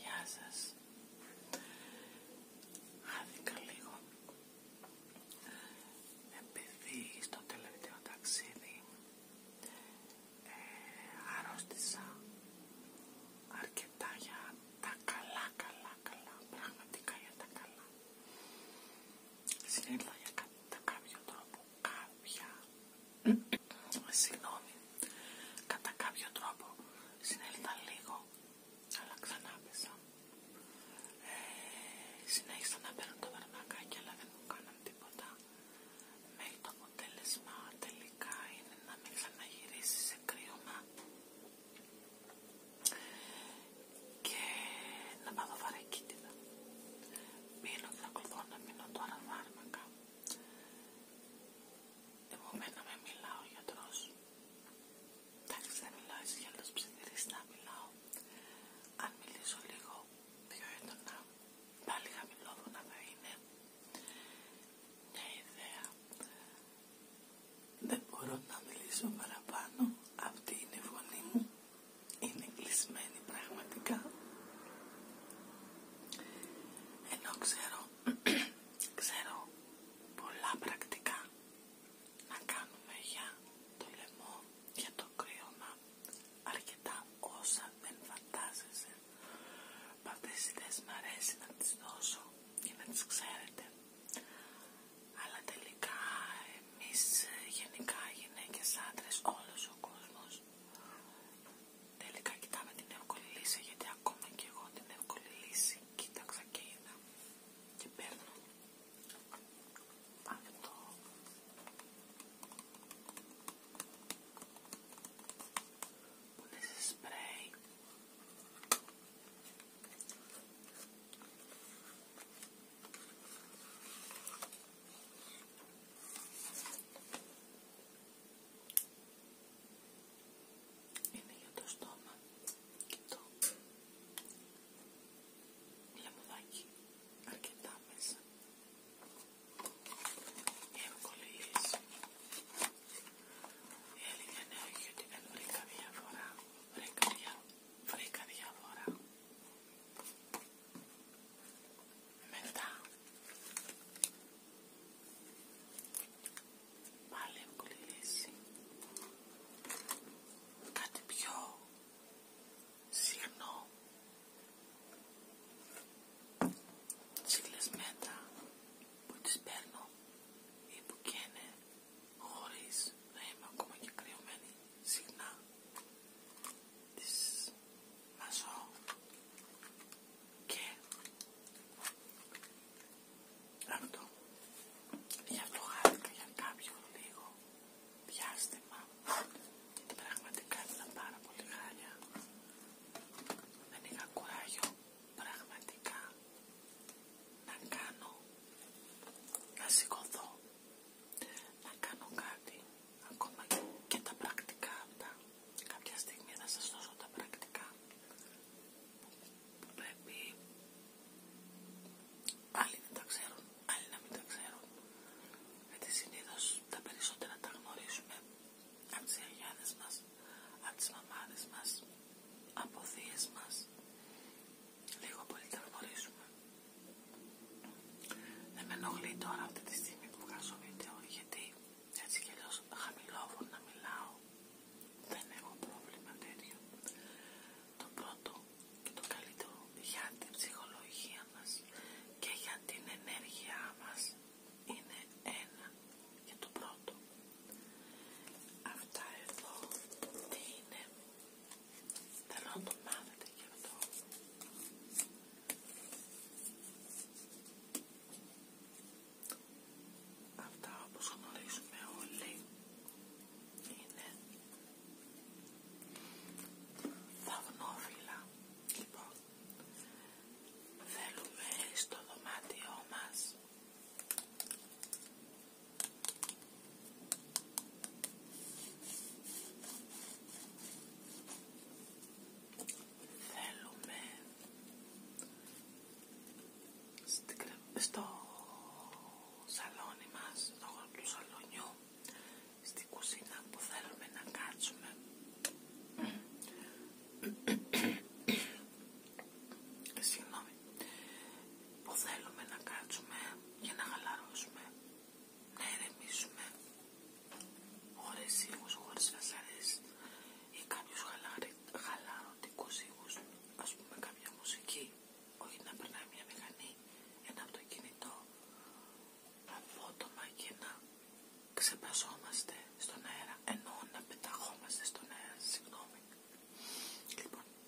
Γεια σας. Χάθηκα λίγο. Επειδή στο τελευταίο ταξίδι ε, αρρώστησα αρκετά για τα καλά, καλά, καλά. Πραγματικά για τα καλά. Συνέβα για κατά κάποιο τρόπο κάποια συγγνώμη κατά κάποιο τρόπο συνέλθα λίγο αλλά ξανά πέσα ε, συνέχισα να παίρνω τα βαρμακάκι, αλλά δεν μου κάναν τίποτα μέχρι το αποτέλεσμα τελικά είναι να μην ξαναγυρίσει σε κρύωμα και να πάθω βαρακίτιδα. Μείνω τρακωθώ να μείνω τώρα φάρμακα. Επομένα με μιλάω ο γιατρός. Εντάξει δεν μιλάω εσύ για να μιλάω. Αν μιλήσω λίγο πιο έντονα, πάλι χαμηλόφωνα θα είναι. Μια ιδέα. Δεν μπορώ να μιλήσω παραπάνω. Αυτή είναι η φωνή μου είναι κλεισμένη πραγματικά ενώ ξέρω ξέρω πολλά πρακτικά να κάνουμε για το λαιμό για το κρύωμα αρκετά όσα δεν φαντάζεσαι Αυτές τις ιδέες μ' αρέσει να τις δώσω και να τις ξέρετε αλλά τελικά εμείς ε, γενικά γυναίκες, άντρες, όλος ο κόσμος τελικά κοιτάμε την εύκολη λύση γιατί ακόμα και εγώ την εύκολη λύση κοίταξα και είδα και παίρνω αυτό που είναι σε σπρέι είναι για το στόμα και το λεμουδάκι αρκετά μέσα. Εύκολη λύση. Η αλήθεια είναι ότι δεν βρήκα διαφορά. βρήκα διαφορά. Μετά πάλι εύκολη λύση. Κάτι πιο σύρνο. Τσίλες μέτρα που τις παίρνω ή που καίνε χωρίς να είμαι ακόμα και κρυωμένη συχνά τις μαζώ και αυτό γι' αυτό για κάποιο λίγο διάστημα γιατί πραγματικά ήταν πάρα πολύ χάλια δεν είχα κουράγιο πραγματικά να κάνω να σηκωθώ να κάνω κάτι ακόμα και τα πρακτικά αυτά. Κάποια στιγμή θα σας δώσω τα πρακτικά που πρέπει άλλοι να τα ξέρουν, άλλοι να μην τα ξέρουν. Γιατί συνήθω τα περισσότερα τα γνωρίζουμε από τις αγιάδες μας, από τις μαμάδες μας, από θείες μας λίγο πολύ τα ναι, Δεν με ενοχλεί τώρα αυτή τη στιγμή που βγάζω βίντεο γιατί έτσι κι αλλιώς χαμηλόφωνα μιλάω. Δεν έχω πρόβλημα τέτοιο. Το πρώτο και το καλύτερο για την ψυχολογία μας και για την ενέργειά μας είναι ένα και το πρώτο. Αυτά εδώ τι είναι Θέλω να το μάθετε Αυτά όπως γνωρίζουμε όλοι είναι δαυνόφυλλα. Λοιπόν, θέλουμε στο δωμάτιό μας Θέλουμε στο σαλόνι μας, στο χώρο του σαλονιού, στην κουζίνα που θέλουμε να κάτσουμε. Συγγνώμη, που θέλουμε να κάτσουμε για να χαλαρώσουμε να ηρεμήσουμε χωρίς ήχους, χωρίς φασαρές ή κάποιους χαλαρωτικούς ήχους, ας πούμε κάποια μουσική, όχι να περνάει μια μηχανή, ένα αυτοκίνητο, απότομα και να ξεπερσόμαστε στον αέρα, ενώ να πεταχόμαστε στον αέρα, συγγνώμη. Λοιπόν,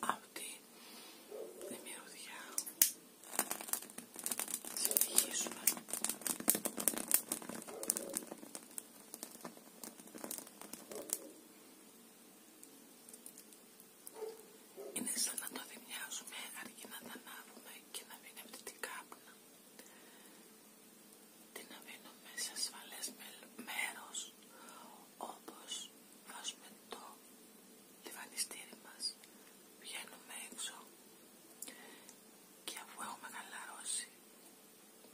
αυτή τη μυρωδιά συνεχίζουμε είναι σαν να το δημιάζουμε αρκεί να τα ανάβουμε και να μην αυτή την κάπνα την αφήνουμε σε ασφαλές μέρος όπως βάζουμε το λιβανιστήρι μας βγαίνουμε έξω και αφού έχουμε χαλαρώσει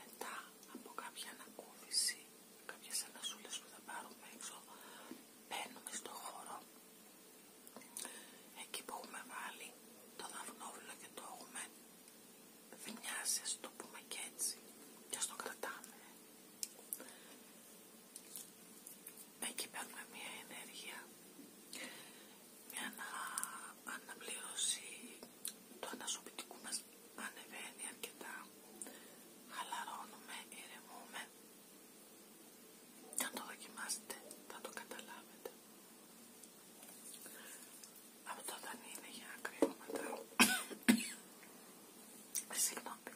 μετά από κάποια ανακούφιση κάποιες ανασούλες που θα πάρουμε έξω μπαίνουμε στο χώρο εκεί που έχουμε βάλει το δαυνόβιλο και το έχουμε θυμιάσει ας το πούμε και έτσι και ας το κρατάμε να παίρνουμε μια ενέργεια, μια να αναπλήρωση του ανασωπητικού μας ανεβαίνει αρκετά, χαλαρώνουμε, ηρεμούμε και αν το δοκιμάσετε θα το καταλάβετε. Αυτό δεν είναι για μετά. Συγγνώμη.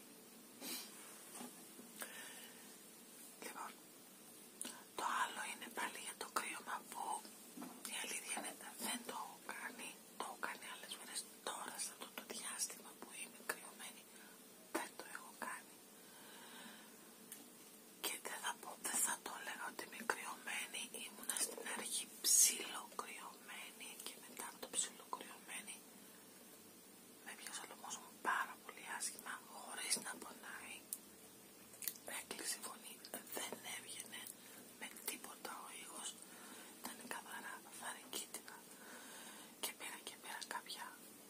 Λοιπόν, το άλλο είναι πάλι για το κρύωμα που η αλήθεια είναι δεν το έχω κάνει, το έχω κάνει άλλες φορές τώρα σε αυτό το διάστημα που είμαι κρυωμένη, δεν το έχω κάνει. Και δεν θα, πω, δεν θα το λέω ότι είμαι κρυωμένη, ήμουνα στην αρχή ψιλοκρυωμένη και μετά από το ψιλοκρυωμένη με πιάσε ο πάρα πολύ άσχημα, χωρί να πονάει. Έκλεισε η φωνή, δεν έβγαινε με τίποτα ο ήχο, ήταν καθαρά Και πέρα και πέρα κάποια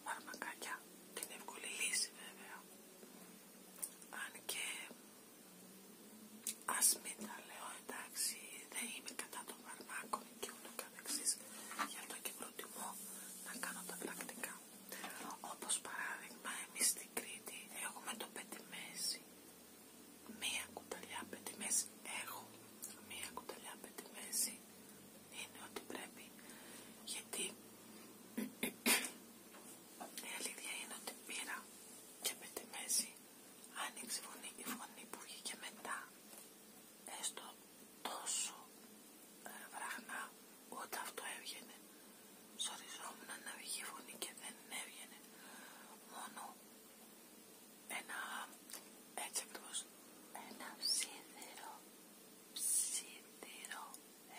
φαρμακάκια, την εύκολη λύση βέβαια. Αν και α τα λέω εντάξει, δεν είμαι κατά των φαρμάκων και ούτω καθεξής, γι' αυτό και προτιμώ να κάνω τα πρακτικά. Όπως παράδειγμα, εμείς στην Κρήτη έχουμε το πεντιμέζι. Μία κουταλιά πεντιμέζι έχω. Μία κουταλιά πεντιμέζι είναι ότι πρέπει, γιατί η αλήθεια είναι ότι πήρα και πεντιμέζι Άνοιξε φωνή, η φωνή που βγήκε μετά, έστω τόσο ε, βραχνά όταν αυτό έβγαινε, σοριζόμουν να βγει η φωνή και δεν έβγαινε. Μόνο ένα έτσι ένα ψίδερο, ψίδερο,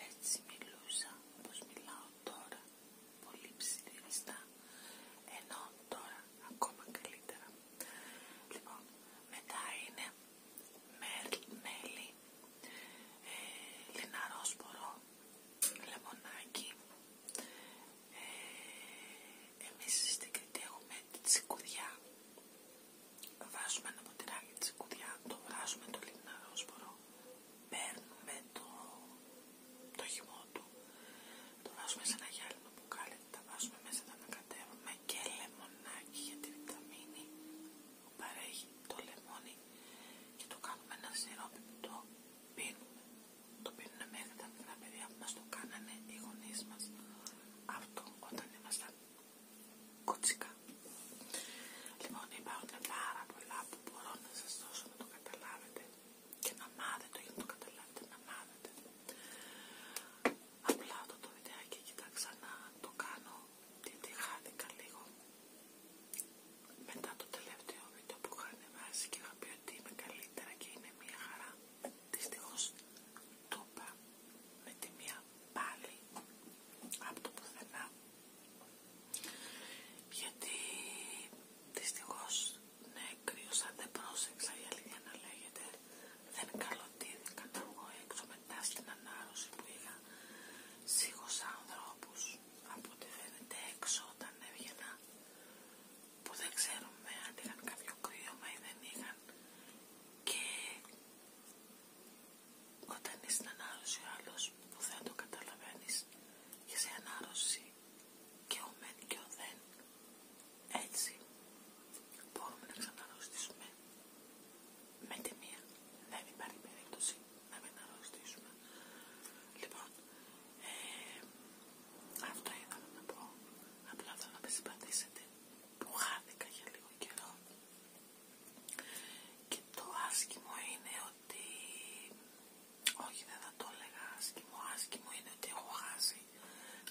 έτσι μιλούσα όπως μιλάω τώρα, πολύ ψιδεριστά, ενώ τώρα ακόμα καλύτερα. Λοιπόν, μετά είναι μέλι, ε, λιναρόσπορο, λεμονάκι. Εμεί εμείς στην Κρήτη έχουμε τη τσικουδιά. Βάζουμε ένα ποτηράκι τσικουδιά, το βγάζουμε το λιναρόσπορο, παίρνουμε το, το χυμό του, το βάζουμε σε ένα γυάλινο μπουκάλι, τα βάζουμε μέσα τα ανακατεύουμε και λεμονάκι για τη βιταμίνη που παρέχει το λεμόνι και το κάνουμε ένα σιρόπι που το πίνουμε. Το πίνουμε μέχρι τα παιδιά που μας το κάνανε οι γονείς μας. Αυτό όταν ήμασταν κοτσικά. Λοιπόν υπάρχουν πάρα πολλά που μπορώ να σας δώσω να το καταλάβετε να να για να το καταλάβετε, να μάθετε. Απλά το, το βιντεάκι κοιτάξα να το κάνω γιατί χάθηκα λίγο μετά το τελευταίο βίντεο που είχα και είχα πει ότι είμαι καλύτερα και είναι μια χαρά. Δυστυχώς το είπα με τη μία πάλι από το πουθενά γιατί δυστυχώς ναι, κρύωσα, δεν πρόσεξα, για λίγη να λέγεται. Δεν καλοτήθηκα δεν βγω έξω μετά στην ανάρρωση που είχα. Σίγουσα ανθρώπους από ό,τι φαίνεται έξω όταν έβγαινα που δεν ξέρουμε αν είχαν κάποιο κρύωμα ή δεν είχαν. Και όταν είσαι στην ανάρρωση ο άλλος που δεν το καταλαβαίνεις είσαι σε ανάρρωση και ο μεν και ο δεν. Έτσι μπορούμε να ξαναρρωστήσουμε με τη μία. Δεν υπάρχει περίπτωση να μην αρρωστήσουμε. Λοιπόν, ε, αυτό ήθελα να πω. Απλά θέλω να με συμπαθήσετε που χάθηκα για λίγο καιρό. Και το άσκημο είναι ότι... Όχι δεν θα το έλεγα άσκημο άσκημο είναι ότι έχω χάσει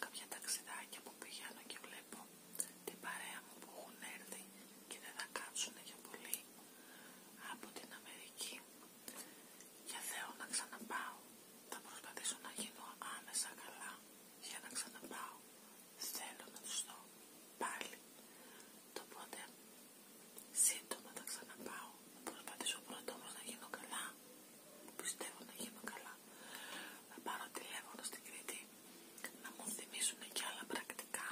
κάποια ταξιδάκια που πηγαίνω και βλέπω την παρέα μου που έχουν έρθει και δεν θα κάτσουν για πολύ από την Αμερική για θέλω να ξαναπάω θα προσπαθήσω να γίνω άμεσα καλά για να ξαναπάω θέλω να του δω πάλι το πότε σύντομα θα ξαναπάω θα προσπαθήσω πρώτα όμως να γίνω καλά Πιστεύω να γίνω καλά. Να πάρω τηλέφωνο στην Κρήτη, να μου θυμίσουν και άλλα πρακτικά,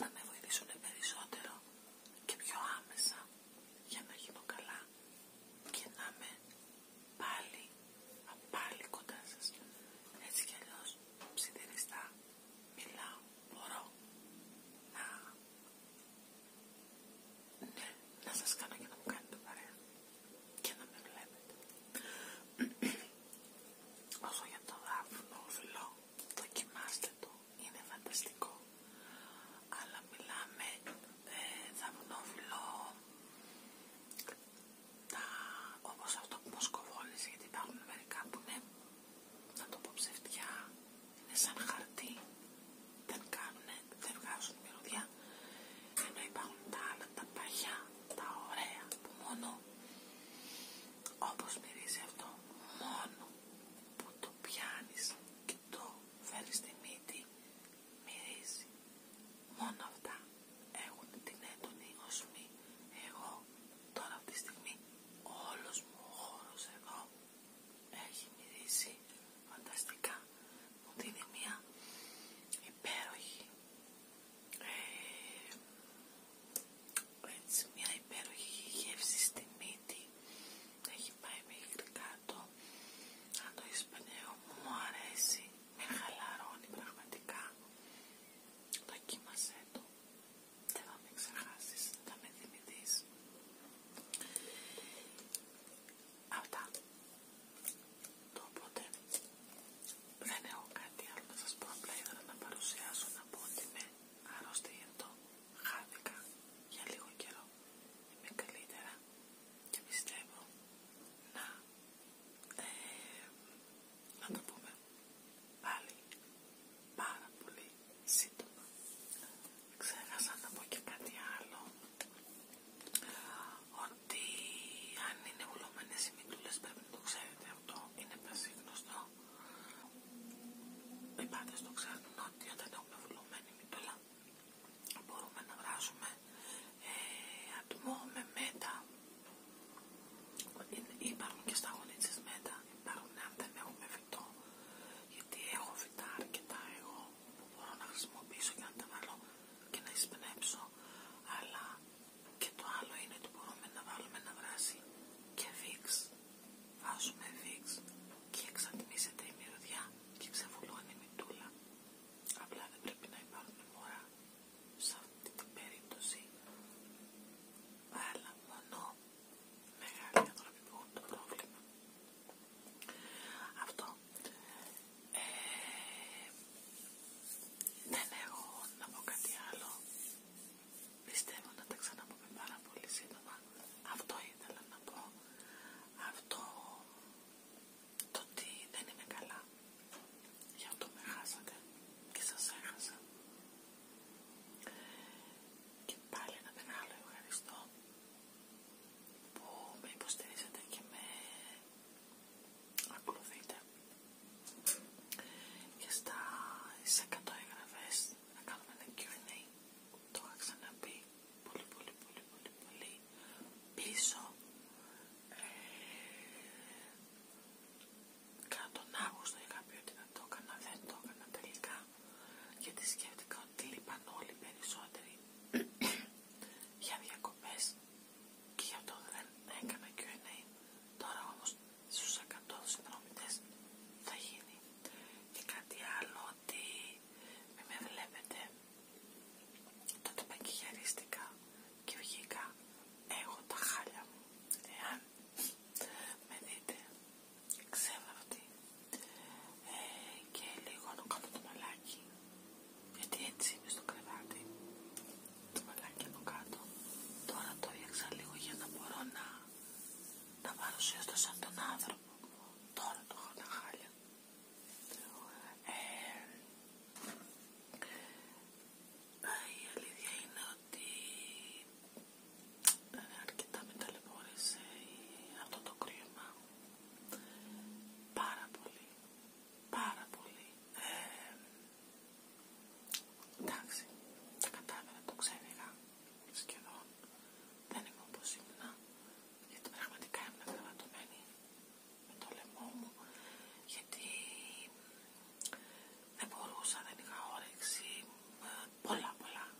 να με βοηθήσουν περισσότερο και πιο άμεσα για να γίνω καλά και να είμαι πάλι, πάλι κοντά σας. Έτσι κι αλλιώς ψιθυριστά μιλάω, μπορώ να ναι, να σας κάνω για να μου κάνετε παρέα και να με βλέπετε. Όσο για το δάφνο το δοκιμάστε το, είναι φανταστικό. Αλλά μιλάμε ε, τα, όπως αυτό που μας γιατί υπάρχουν μερικά που είναι, να το πω ψευτιά, είναι σαν χαρτί, δεν κάνουνε, δεν βγάζουν μυρωδιά, ενώ υπάρχουν τα άλλα, τα παγιά, τα ωραία, που μόνο όπως μυρίζει αυτό, μόνο που το πιάνεις και το φέρεις στη μύτη, μυρίζει. Μόνο αυτά έχουν την έντονη οσμή. Εγώ τώρα αυτή τη στιγμή όλος μου ο χώρος εδώ έχει μυρίσει φανταστικά. Μου δίνει μια υπέροχη ε, μια υπέροχη γεύση στη μύτη. Έχει πάει μέχρι κάτω. Αν το εισπνέω μου αρέσει. Με χαλαρώνει πραγματικά. Δοκίμασέ το. Δεν θα με ξεχάσεις, θα με θυμηθείς. Αυτά. Το οπότε δεν έχω κάτι άλλο να σας πω. Απλά ήθελα να παρουσιάσω να πω ότι είμαι άρρωστη Χάθηκα για λίγο καιρό. Είμαι καλύτερα και πιστεύω να, ε, να το πούμε πάλι πάρα πολύ σύντομα. Ξέχασα να πω και κάτι άλλο. Ότι αν είναι βουλωμένες οι μητούλες πρέπει να το ξέρετε αυτό. Είναι πασίγνωστο. Οι πάντες το ξέρουν ότι όταν έχουμε βουλωμένη μητόλα μπορούμε να βράζουμε ε, ατμό με μέτα. Υπάρχουν και στα μέτα. Υπάρχουν αν δεν έχουμε φυτό. Γιατί έχω φυτά αρκετά εγώ που μπορώ να χρησιμοποιήσω και να τα βάλω και να εισπνέψω αλλά και το άλλο είναι ότι μπορούμε να βάλουμε να βράσει και βίξ βάζουμε βίξ και εξατμίζεται η μυρωδιά και ξεβουλώνει η μητούλα απλά δεν πρέπει να υπάρχουν μωρά σε αυτή την περίπτωση αλλά μόνο μεγάλη άνθρωποι το πρόβλημα αυτό. δεν ναι, έχω ναι, να πω κάτι άλλο. Πιστεύω να τα ξαναπούμε πάρα πολύ σύντομα. Αυτό ήθελα να πω. Αυτό το ότι δεν είμαι καλά. Γι' αυτό με χάσατε και σας έχασα. Και πάλι ένα μεγάλο ευχαριστώ που με υποστηρίζετε και με ακολουθείτε και στα 100 εγγραφές να κάνουμε ένα Q&A το είχα ξαναπεί πολύ πολύ πολύ πολύ πολύ πίσω ε, κατά τον Αύγουστο είχα πει ότι να το έκανα δεν το έκανα τελικά γιατί σκέφτηκα ότι λείπαν όλοι περισσότεροι για διακοπές και γι' αυτό δεν έκανα Q&A. Τώρα όμως στους 100 συνδρομητές θα γίνει. Και κάτι άλλο ότι μη με βλέπετε τότε παγκυγιαρίστηκα και βγήκα έχω τα χάλια μου. Εάν με δείτε ξέβραβτη ε, και λίγο να κάτω το μαλάκι γιατί έτσι είμαι στο κρεβάτι το μαλάκι από κάτω τώρα το ρίξα λίγο για να μπορώ να να παρουσιαστώ σαν τον άνθρωπο τώρα το έχω χάλια ε, η αλήθεια είναι ότι αρκετά με αυτό το κρίμα Πάρα πολύ, πάρα πολύ. Ε, εντάξει, τα κατάφερα, το ξένιγα σχεδόν. Δεν είμαι όπως ήμουνα, γιατί πραγματικά ήμουν γραμματωμένη με το λαιμό μου, γιατί δεν μπορούσα, δεν είχα όρεξη, ε, πολλά πολλά